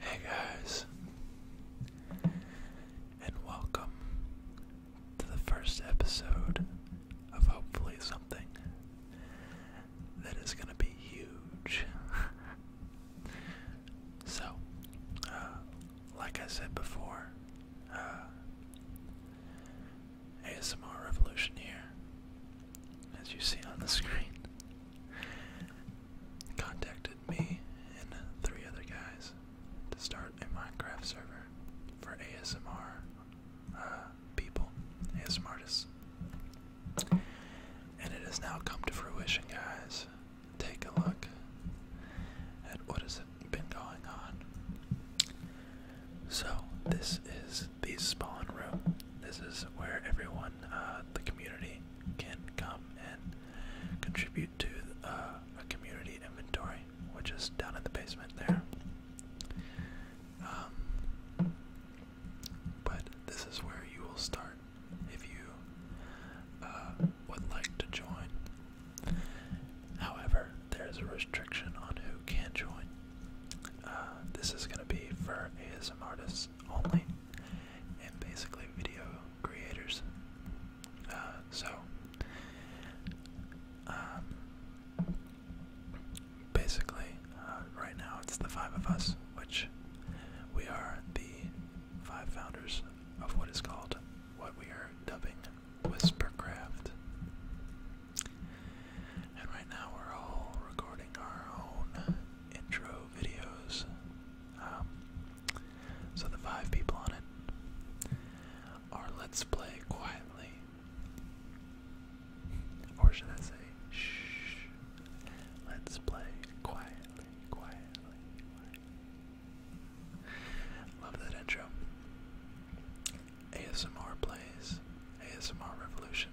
Hey guys, and welcome to the first episode of hopefully something that is going to be huge. so, uh, like I said before, uh, ASMR Revolution here, as you see on the screen contacted me and three other guys to start a Minecraft server for ASMR uh, people, ASMR artists. And it has now come to fruition, guys. Take a look at what has been going on. So, this is the spawn room. This is where everyone, uh, the community, can come and contribute to uh, a community inventory, which is down in the basement there. Um, but this is where you will start if you uh, would like to join. However, there is a restriction on who can join. Uh, this is going to be for ASM artists only, and basically video creators. Uh, so, um, basically, uh, right now it's the five of us, which we are the five founders of what is called what we are dubbing Whispercraft. And right now we're all recording our own intro videos. Um, so the five people on it are Let's Play Quietly. Or should I say, shh, let's play quietly, quietly. Love that intro. ASMR plays, ASMR revolution.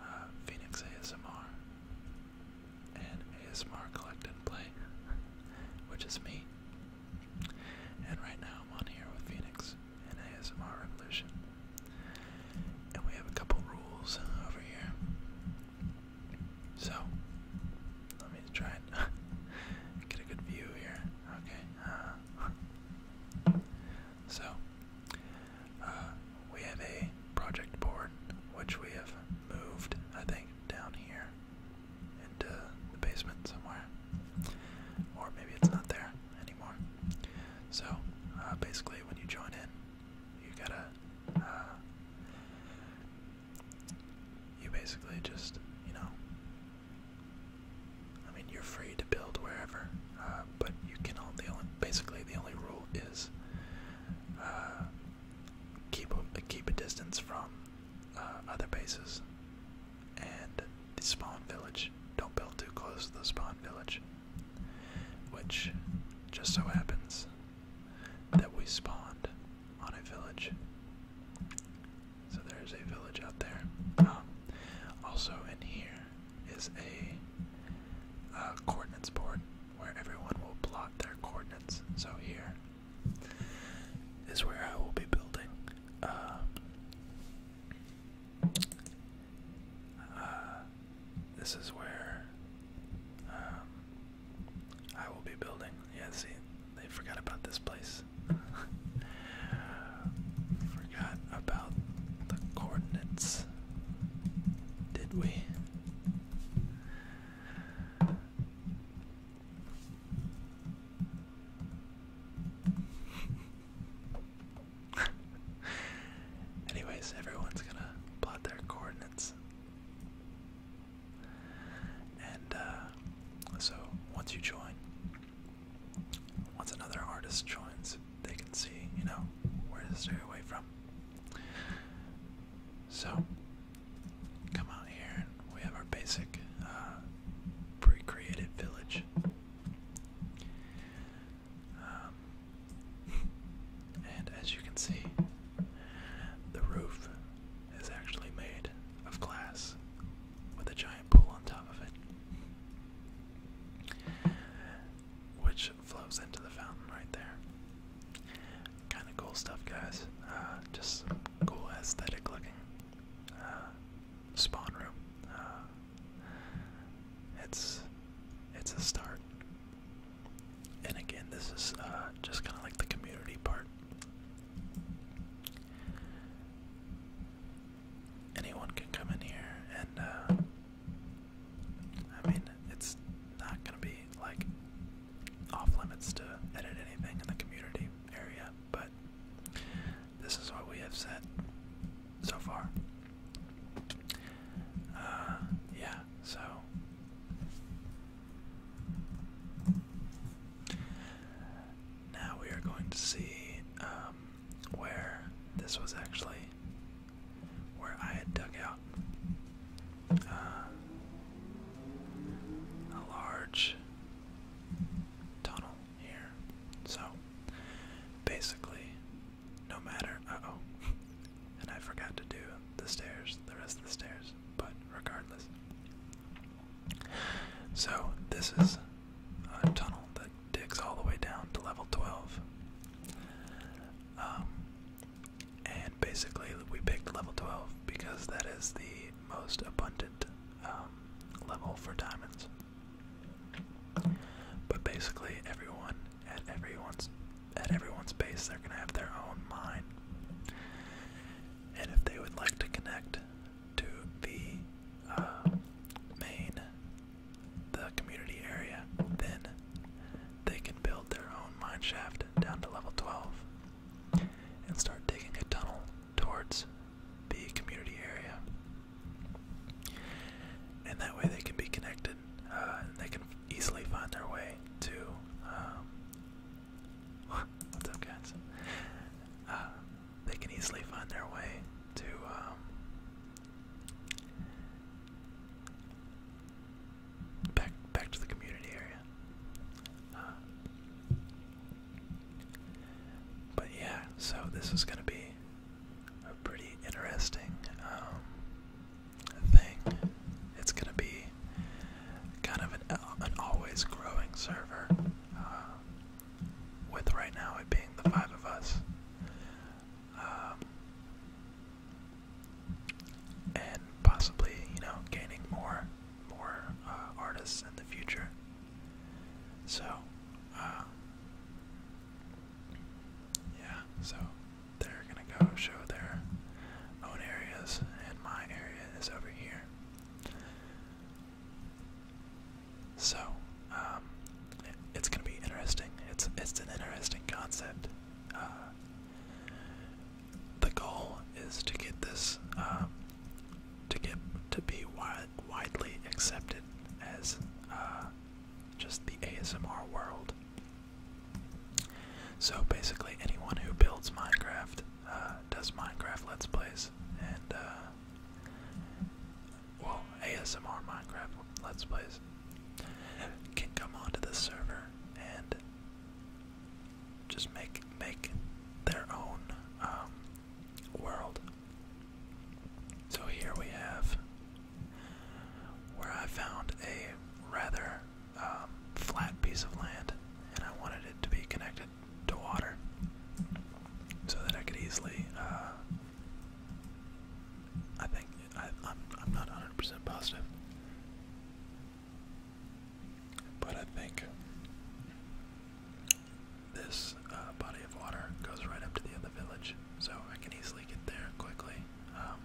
Uh, Phoenix ASMR, and ASMR Collect and Play, which is me. And right now I'm on here with Phoenix and ASMR Revolution. And we have a couple rules over here. So, let me try and get a good view here. Okay. Uh, so, uh, we have a project board which we have moved, I think, down here into the basement somewhere. Or maybe it's not there anymore. So uh, basically, when you join in, you gotta. Uh, you basically just, you know. I mean, you're free build wherever. Uh, but you can only, the only basically the only rule is uh, keep a, keep a distance from uh, other bases and the spawn village. Don't build too close to the spawn village, which just so happens that we spawn on a village. So there's a village out there. Um, also in here, is a uh, coordinates board where everyone will plot their coordinates. So here is where I will be building. Um, uh, this is where um, I will be building. Yeah, see, they forgot about this place. forgot about the coordinates, did we? Anyways, everyone's gonna plot their coordinates. And uh, so once you join, once another artist joins, they can see, you know, where to stay away from. So, come out here, and we have our basic uh, pre created village. Um, and as you can see, the roof is actually made of glass with a giant pool on top of it which flows into the fountain right there. Kind of cool stuff, guys. Uh, just cool aesthetic looking uh, spawn room. Uh, it's it's a start. And again, this is just kind of like the community part. Anyone can come in here and I mean, it's not gonna be like off limits to edit anything in the community area, but this is what we have set so far. Uh, yeah, so now we are going to see um, where this was actually where I had dug out uh, a large tunnel here. So basically, no matter. Uh oh. And I forgot to do the stairs, the rest of the stairs, but regardless. So, this is uh, tunnel that digs all the way down to level 12. Um, and basically, we picked level 12 because that is the most abundant um, level for diamonds. But basically, everyone at everyone's at everyone's base, they're gonna have their own mine. And if they would like to connect to the uh, main the community area, then they can build their own mine shaft down to level 12 and start digging a tunnel towards the community area. And that way they can be connected uh, and they can easily find their way to. Um, what's up, guys? Uh, they can easily find their way to um, Back back to the community area. Uh, but yeah, so this is going to be a pretty interesting um, thing. It's going to be kind of an, an always growing server. Uh, with right now it being the five of us. Um, and possibly, you know, gaining more, more uh, artists in the future. So, uh, yeah, so they're gonna go show their own areas, and my area is over here. So, um, it's going to be interesting. It's it's an interesting concept. Uh, the goal is to get this um, to get to be widely accepted as uh, just the ASMR world. So basically, anyone who builds Minecraft uh, does Minecraft Let's Plays, and well, ASMR Minecraft Let's Plays can come onto this server and just make make their own um, world. So here we have where I found a rather um, flat piece of land, and I wanted it to be connected to water so that I could easily. Uh, I think I, am I'm not 100% positive, but I think this uh, body of water goes right up to the other village, so I can easily get there quickly. Um,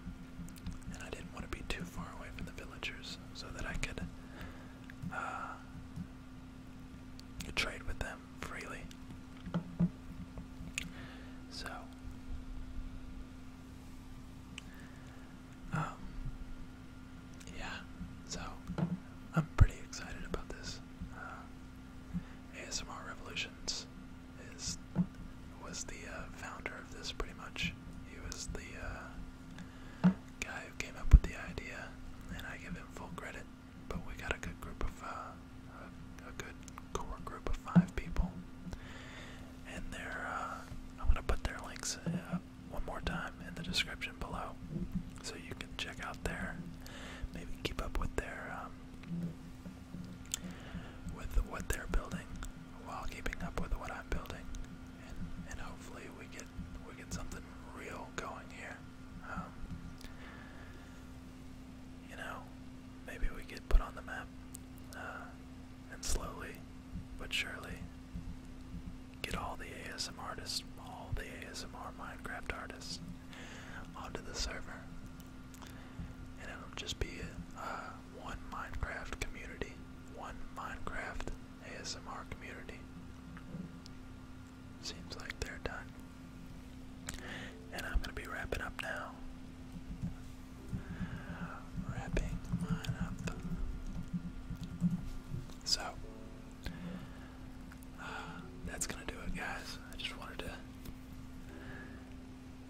and I didn't want to be too far away from the villagers so that I could uh, trade with them freely. So, um, yeah, so I'm pretty excited about this. Uh, ASMR Revolutions is was the uh, founder of this pretty much. He was the uh, guy who came up with the idea, and I give him full credit but we got a good group of uh, a, good core group of five people, and they're. Uh, I'm gonna put their links uh, one more time in the description below, so you can check out there, maybe keep up with their, um, with what they're building, while keeping up with what I'm building, and hopefully we get we get something real going here. Um, you know, maybe we get put on the map uh, and slowly but surely get all the ASMR artists, all the ASMR Minecraft artists onto the server. And it'll just be a, uh, one Minecraft community, one Minecraft ASMR community. Seems like they're done. And I'm going to be wrapping up now. Wrapping mine up. So, uh, that's going to do it, guys. I just wanted to.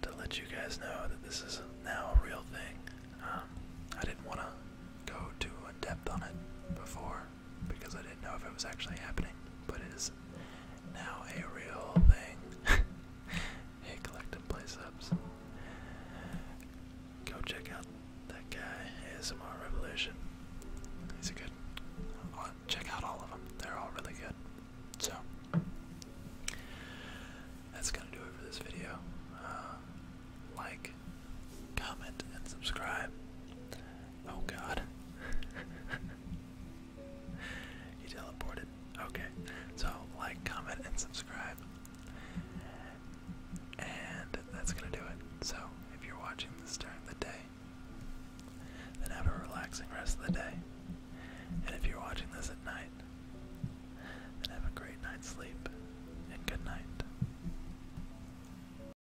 To let you guys know that this is now a real thing. Um, I didn't want to go too in depth on it before, because I didn't know if it was actually happening, but it is now a real thing. hey, collecting play Go check out that guy, ASMR Revolution. He's a good. i uh, check out all of them, they're all really good. So, that's gonna do it for this video. Uh, like, comment, and subscribe. Oh god. he teleported. Okay. So, like, comment, and subscribe. And that's gonna do it. So, if you're watching this during the day, then have a relaxing rest of the day. And if you're watching this at night, then have a great night's sleep and good night.